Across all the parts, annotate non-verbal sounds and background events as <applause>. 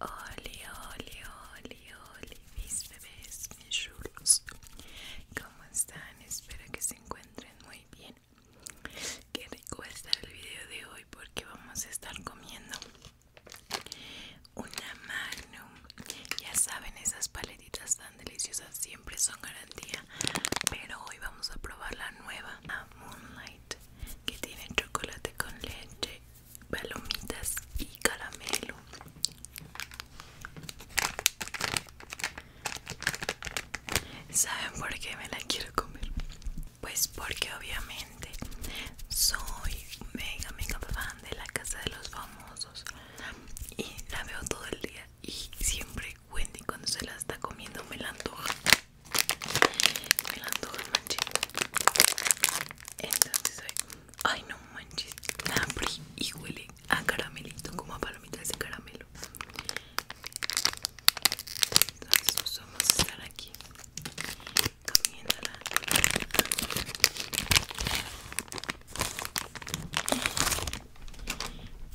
Oli, oli, oli, oli, mis bebés, mis chulos. ¿Cómo están? Espero que se encuentren muy bien. Qué rico está el video de hoy porque vamos a estar comiendo una magnum. Ya saben esas paletas tan deliciosas siempre son garantía pero hoy vamos a probar la nueva Moonlight que tiene chocolate con leche palomitas y caramelo saben por qué me la quiero comer pues porque obviamente soy mega mega fan de la casa de los famosos y la veo todo el día y siempre Wendy cuando se la está comiendo me la antoja me la antoja manches entonces ay no manches la abrí y huele a caramelito como a palomitas de caramelo entonces vamos a estar aquí comiéndola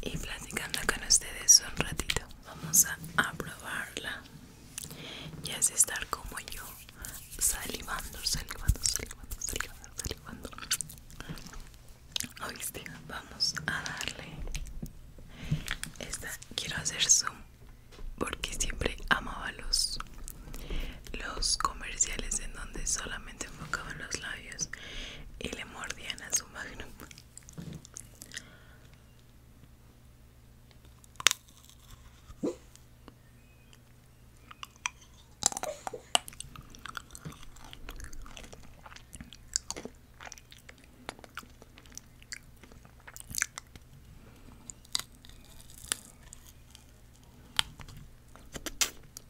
y platicando con ustedes un ratito vamos a probarla y es estar como yo salivando salivando salivando salivando salivando oíste vamos a darle esta quiero hacer zoom porque siempre amaba los los comerciales en donde solamente enfocaban los labios y le mordían a su magnum.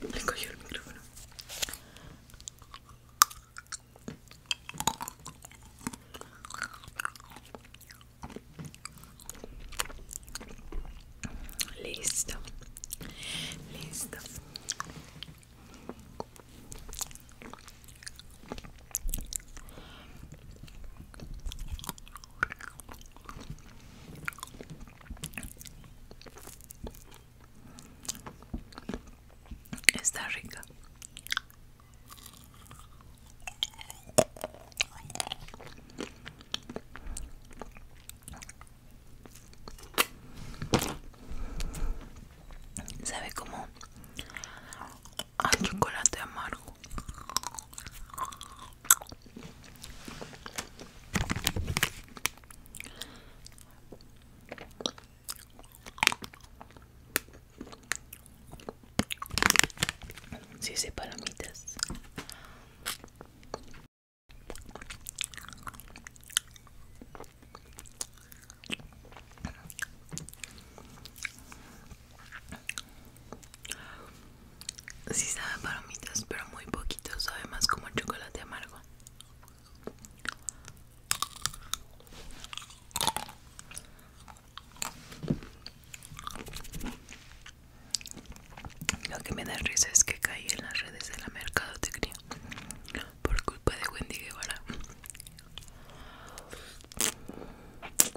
Le cogió el micrófono. Listo. Listo. Está rica. Sabe como chocolate amargo si se palomitas. Sí sabe palomitas, pero muy poquito, sabe más como chocolate amargo. Lo que me da risa es que caí en las redes de la mercadotecnia por culpa de Wendy Guevara.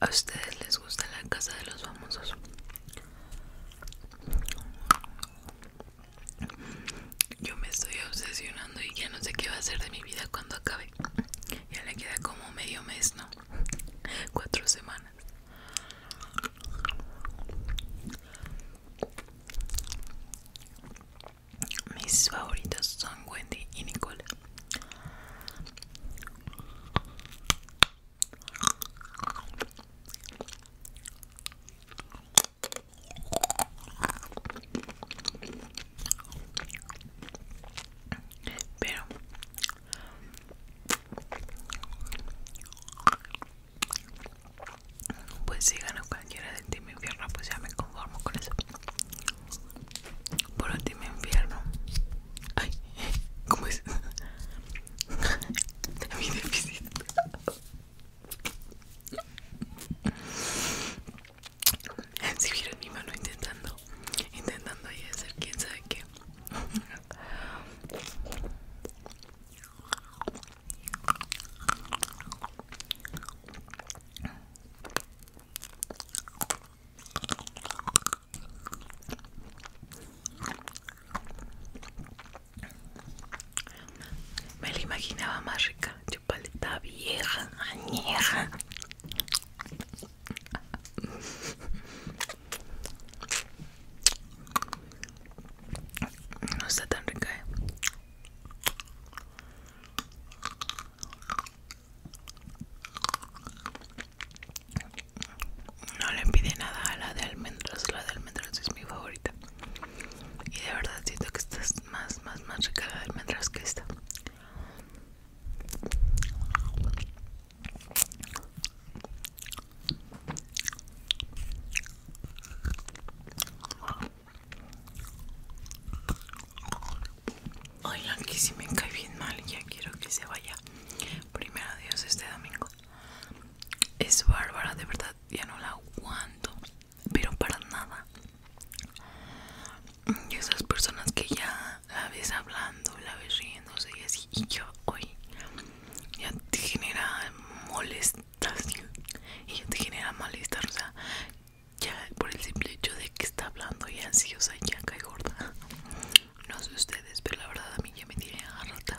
¿A ustedes les gusta la casa de los famosos? Yo me estoy obsesionando y ya no sé qué va a hacer de mi vida cuando acabe. Ya le queda como medio mes, ¿no? <laughs> Cuatro semanas. Mis favoritos son Wendy y Nicole. Pero pues si gano cualquiera de ti mi pierna pues ya me conformo con eso por último infierno. Ay, ¿cómo es? <laughs> Mi déficit. Si vieron mi mano intentando, intentando ahí hacer quién sabe qué. Me la imaginaba más rica, chupaleta vieja, añeja. No está tan rica, eh. No le pide nada a la de almendras, la de almendras es mi favorita. Y de verdad siento que esta es más, más, más rica la de almendras que esta. Oigan, que si me cae bien mal, ya quiero que se vaya. Primero adiós este domingo. Es bárbara, de verdad, ya no la aguanto. Pero para nada. Y esas personas que ya la ves hablando, la ves riéndose y así. Y yo hoy ya te genera molestia. Y ya te genera malestar. O sea, ya por el simple hecho de que está hablando y ansiosa y ya y gorda. No sé ustedes, pero la verdad a mí ya me tiene agarrada.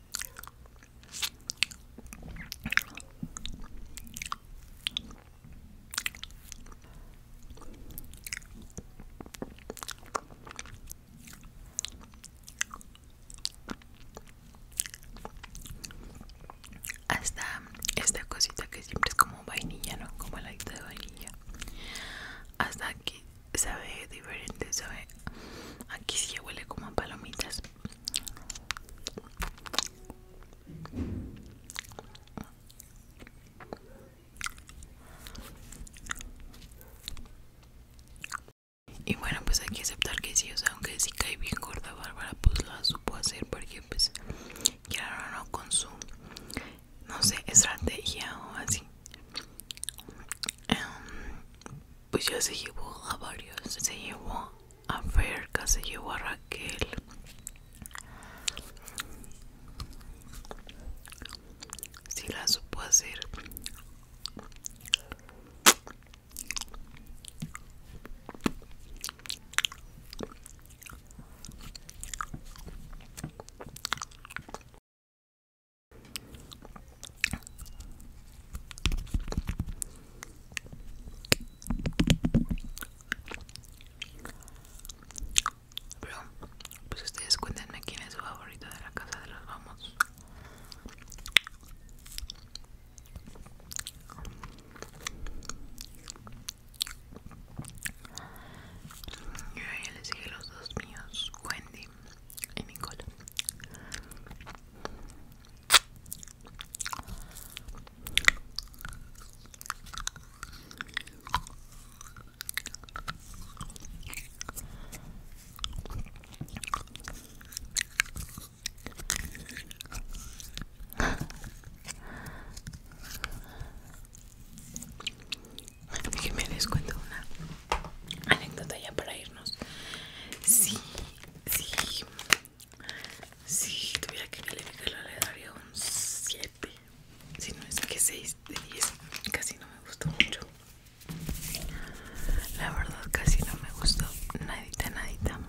Hasta esta cosita que siempre es como vainilla, ¿no? Como el de vainilla. Hasta aquí sabe diferente, sabe. Aquí sí huele como a palomitas. Y bueno, pues hay que aceptar que sí, o sea, aunque sí cae bien gorda Bárbara, pues lo supo hacer porque pues ya no, con su, no sé, estrategia o así. Em, pues ya se llevó a varios se llevó a Ferca se llevó a Raquel si la supo hacer pero, pues ustedes cuéntenme quién es su favorito de la casa de los vamos. Yo ya les dije los dos míos, Wendy en mi cola. Déjenme les cuento una anécdota ya para irnos. Sí, sí. Si tuviera que calificarla le daría un 7. Si no es que 6 de 10. Casi no me gustó mucho. La verdad casi no me gustó. Nadita, nadita.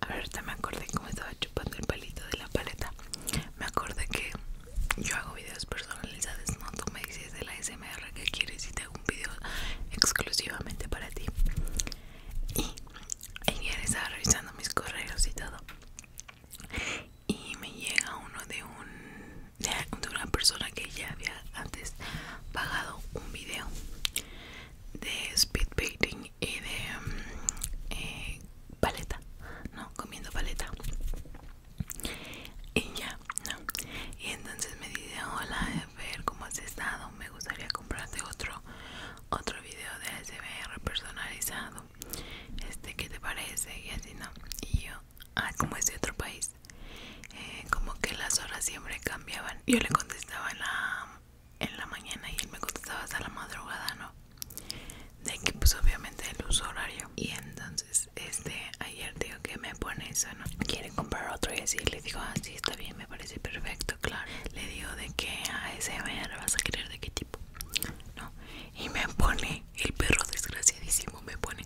A ver, Ahorita me acordé cómo estaba chupando el palito de la paleta. Me acordé que yo hago videos personalizados, no tú me dices de la SMR que quieres y te hago un video exclusivamente para ti. Y estaba revisando mis correos y todo. Y me llega uno de un de una persona que ya había antes pagado un video de speed y de mm, eh, paleta, no comiendo paleta y ya no y entonces me dice hola ver cómo has estado me gustaría comprarte otro otro video de SBR personalizado este que te parece y así no y yo ah, como es de otro país eh, como que las horas siempre cambiaban yo le contestaba en la en la mañana y él me contestaba hasta la madrugada no de que pues obviamente el uso horario y entonces este ayer digo que me pone eso no quiere comprar otro y así le digo ah está bien me parece perfecto claro le digo de que a ese vas a querer de qué tipo no y me pone el perro desgraciadísimo me pone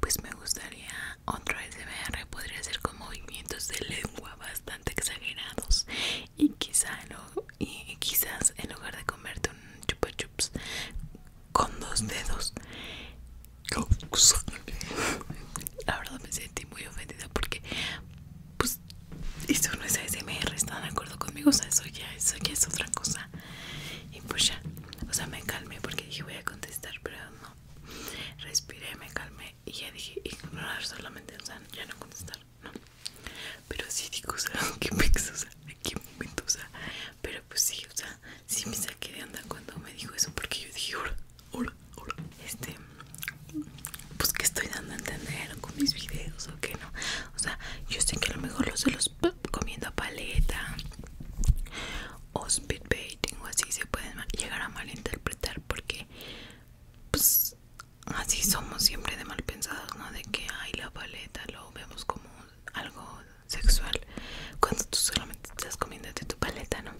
pues me gustaría otro VR podría ser con movimientos de lengua bastante exagerados y y quizás en lugar de comerte un chupa chups con dos dedos. La verdad me sentí muy ofendida porque pues esto no es ASMR, de acuerdo conmigo, o sea, eso ya, eso ya es otra cosa. Y pues ya, o sea, me calmé porque dije voy a contestar, pero no. Respiré, me calmé y ya dije ignorar solamente, o sea, ya no contestar, no. Pero sí digo, o sea, qué pex, o sea, ¿a qué momento, o sea. Pero pues sí, o sea, sí me saqué de onda cuando me dijo eso porque yo dije, hola, hola, hola. Este, pues que estoy dando a entender con mis videos o que no. O sea, yo sé que a lo mejor los de los comiendo paleta o speedbaiting o así se pueden llegar a malinterpretar porque pues así somos siempre de mal pensados, ¿no? De que, ay, la paleta, lo vemos como algo sexual cuando tú solamente estás comiendo de tu paleta, ¿no?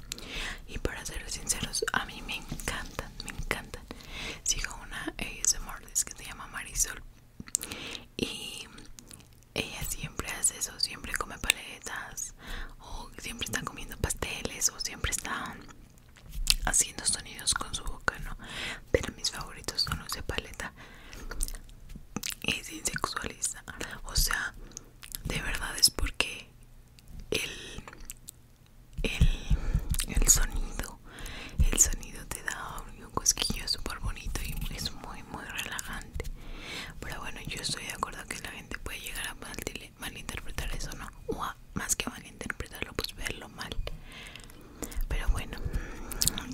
Y para ser sinceros, a mí me encantan, me encanta Sigo una ASMR que se llama Marisol y ella siempre hace eso, siempre come paletas o siempre está comiendo pasteles o siempre está haciendo sonidos con su boca, ¿no? pero mis favoritos son los de paleta es insexualizar. o sea de verdad es porque el sonido el sonido te da un cosquillo súper bonito y es muy muy relajante pero bueno yo estoy de acuerdo que la gente puede llegar a malinterpretar eso no o más que malinterpretarlo pues verlo mal pero bueno,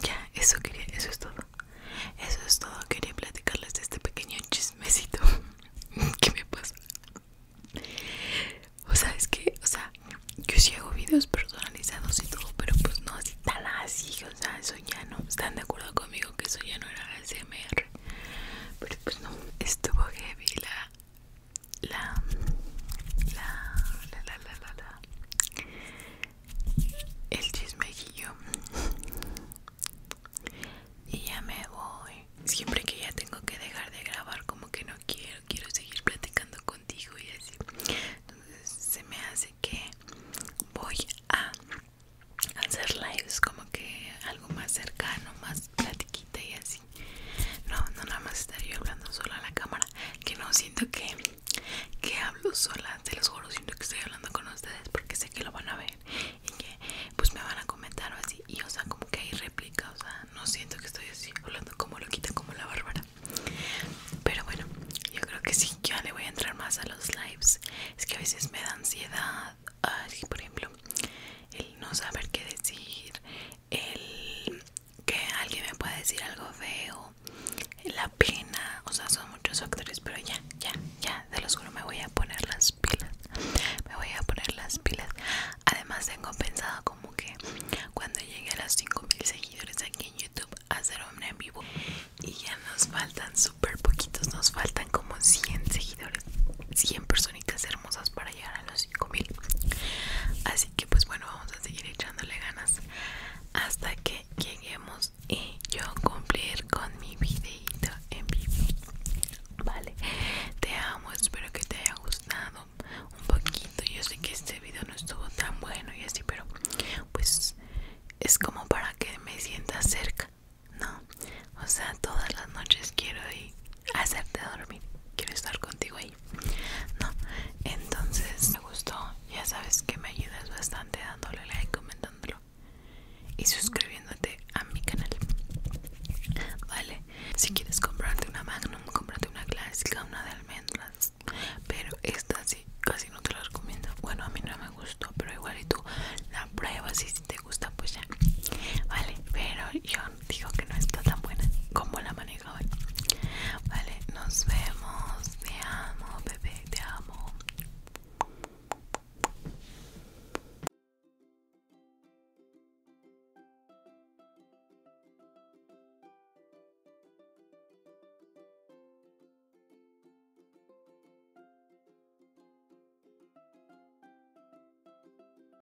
ya, eso quería, eso es todo. Eso es todo, quería platicarles de este pequeño chismecito <laughs> que me pasa? O sea, es que, o sea, yo sí hago videos personalizados y todo, pero pues no así tal, así, o sea, eso ya no. Están de acuerdo conmigo que eso ya no era CMR Pero pues no, estuvo heavy la la la la la la la, la. el chismejillo y ya me voy siempre que ya tengo que dejar de grabar como que no quiero quiero seguir platicando contigo y así entonces se me hace que voy a hacer lives como que algo más cercano más platiquita y así no, no nada más estaré yo hablando sola a la cámara que no siento que que hablo sola te los juro siento que estoy hablando con ustedes porque sé que lo van a ver y que pues me van a comentar o así y o sea como que hay réplica o sea no siento que estoy así hablando como loquita como la bárbara pero bueno yo creo que sí ya le voy a entrar más a los lives es que a veces me da ansiedad así por ejemplo el no saber qué decir el que alguien me pueda decir algo feo, la pena, o sea, son muchos factores, pero ya, ya, ya, de los juro, me voy a poner las pilas. Me voy a poner las pilas. Además, tengo pensado como que cuando llegue a los 5000 seguidores aquí en YouTube, hacer hombre en vivo. Y ya nos faltan súper poquitos, nos faltan como 100 seguidores, 100 personitas hermosas para llegar a los 5000. Así que pues bueno vamos a seguir echándole ganas hasta que lleguemos y yo cumplir con mi videito en vivo vale te amo espero que te haya gustado un poquito yo sé que este video no estuvo tan bueno y así pero pues es como para que me sienta cerca no o sea todas las noches quiero ir hacerte dormir quiero estar contigo ahí no entonces me gustó ya sabes que me ayudas bastante dándole like comentándolo y suscribiéndote a mi canal vale si quieres comprarte una magnum comprate una clásica una de almendras pero esta sí casi no te la recomiendo bueno a mí no me gustó pero igual y tú la pruebas y si te gusta pues ya vale pero <laughs> yo digo que no está tan buena como la manejaba Vale, nos vemos. Te amo, bebé, te amo.